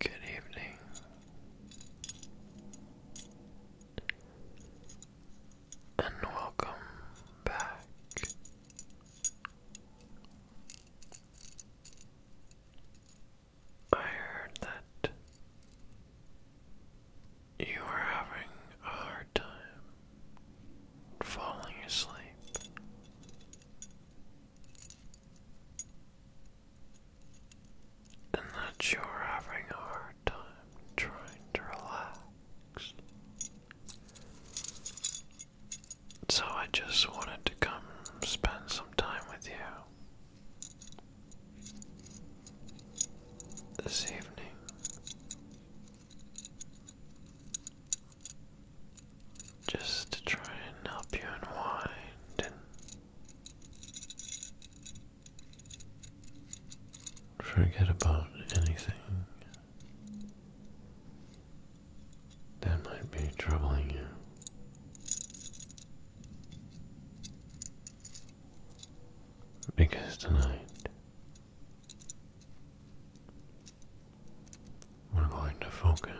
Good evening. And welcome back. I heard that you are having a hard time falling asleep. And that you're having a hard time trying to relax. So I just wanted to come spend some time with you this evening. Just to try and help you unwind and forget about anything that might be troubling you. Because tonight we're going to focus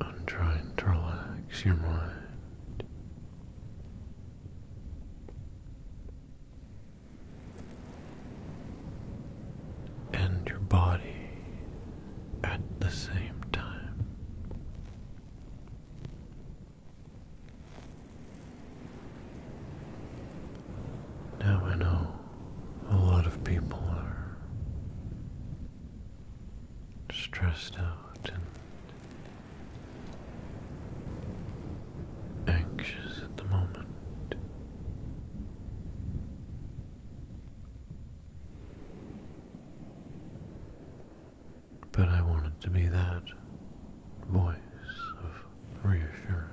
on trying to relax your mind and your body at the same time. Now I know a lot of people are stressed out and anxious at the moment. But I wanted to be that voice of reassurance.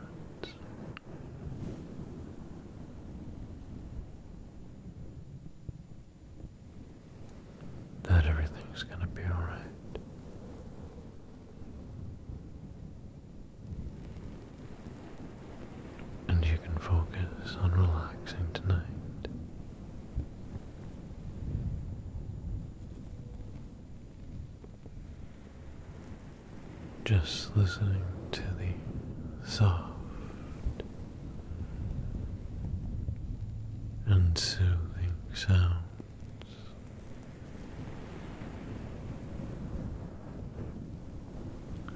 That everything's going to be alright and you can focus on relaxing tonight. Just listening to the soft and soothing sounds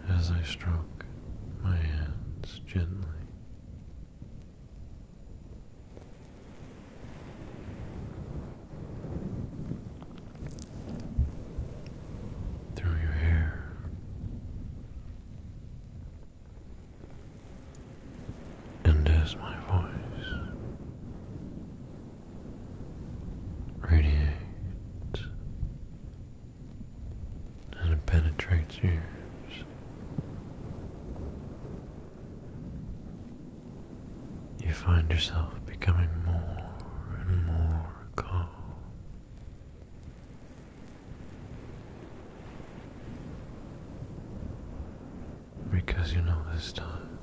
as I stroke my hands gently. Through your hair, and as my voice radiates and it penetrates you. You find yourself becoming more and more calm. Because you know this time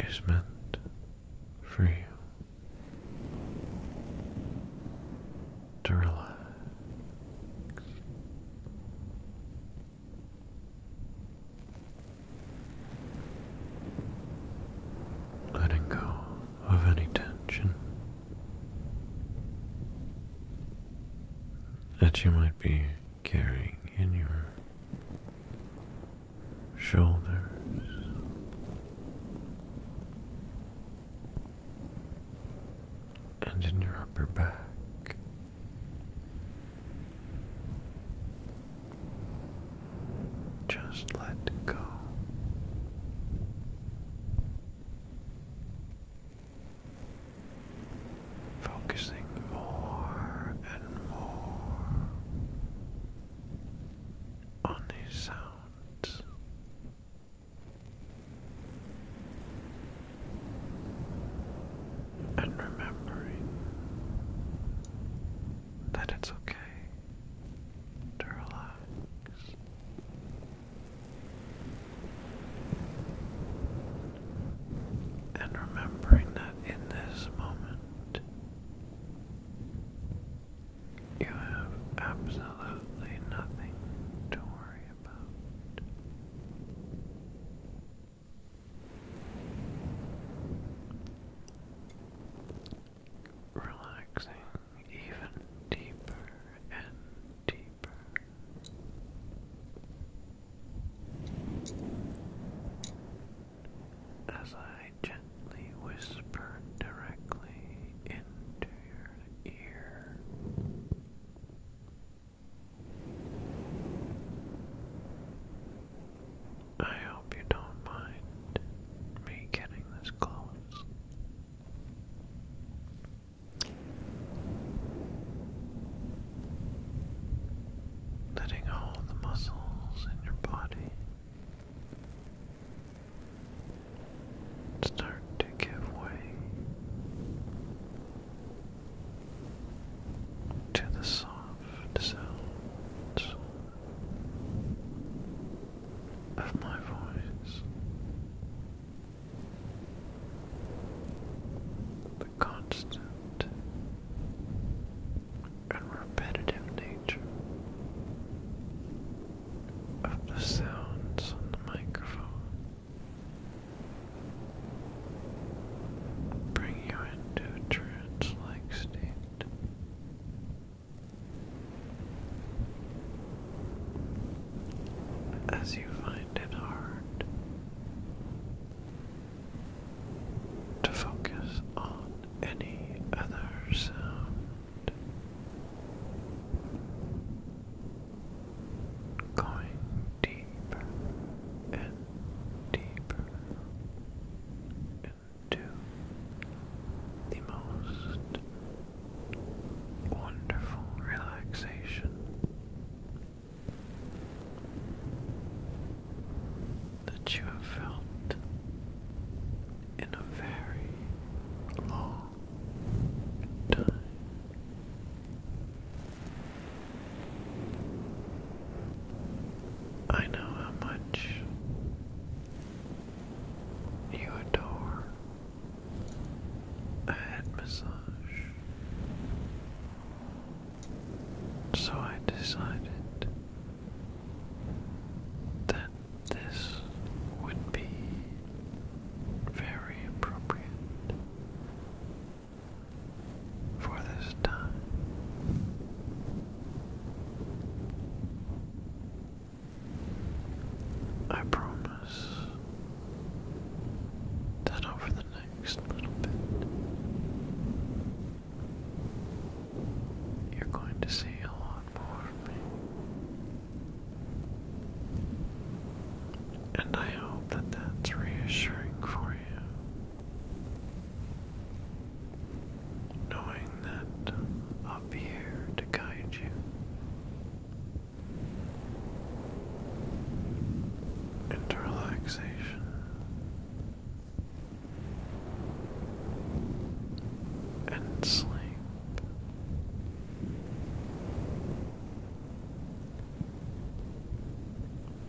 is meant for you to relax. Letting go of any tension that you might be carrying in your shoulders. And in your upper back, just let go Focusing more and more on these sounds. And remembering that it's okay to relax. And remembering that in this moment, you have absolutely nothing to worry about relaxing even deeper and deeper. As I gently whisper directly into your ear, I hope you don't mind me getting this close. Letting all the muscles in your body start to give way to the soft sounds of my voice, the constant and repetitive nature of the sounds on the microphone. Bring you into trance like state as you find it hard to focus on any other sound. Going deeper and deeper to the most wonderful relaxation. That you have felt in a very long time. I know how much you adore. A head massage. So I decided that this would be very appropriate for this time. I promise that over the next little bit, you're going to see a lot more And I hope that that's reassuring for you knowing that I'll be here to guide you. Into relaxation, and sleep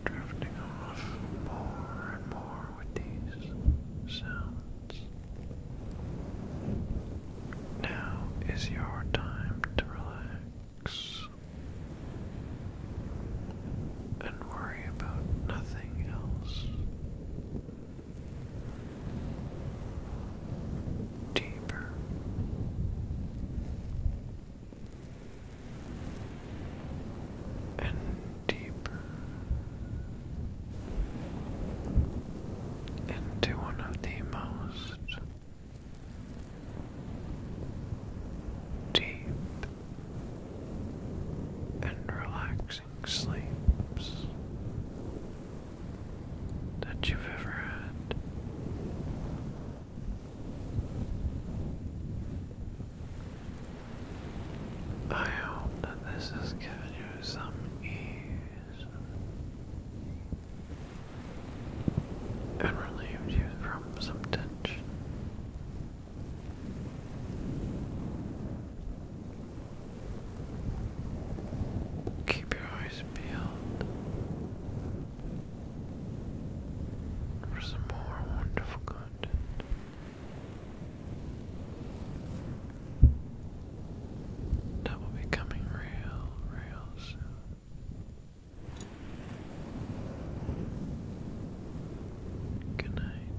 drifting off more and more with these sounds. Now is your time to relax and worry about nothing else. Deeper and deep into one of the most deep and relaxing sleeps that you've ever had. I hope that this has given you some ease and relieved you from some tension. Keep your eyes peeled for some more wonderful content. That will be coming real, real soon. Good night.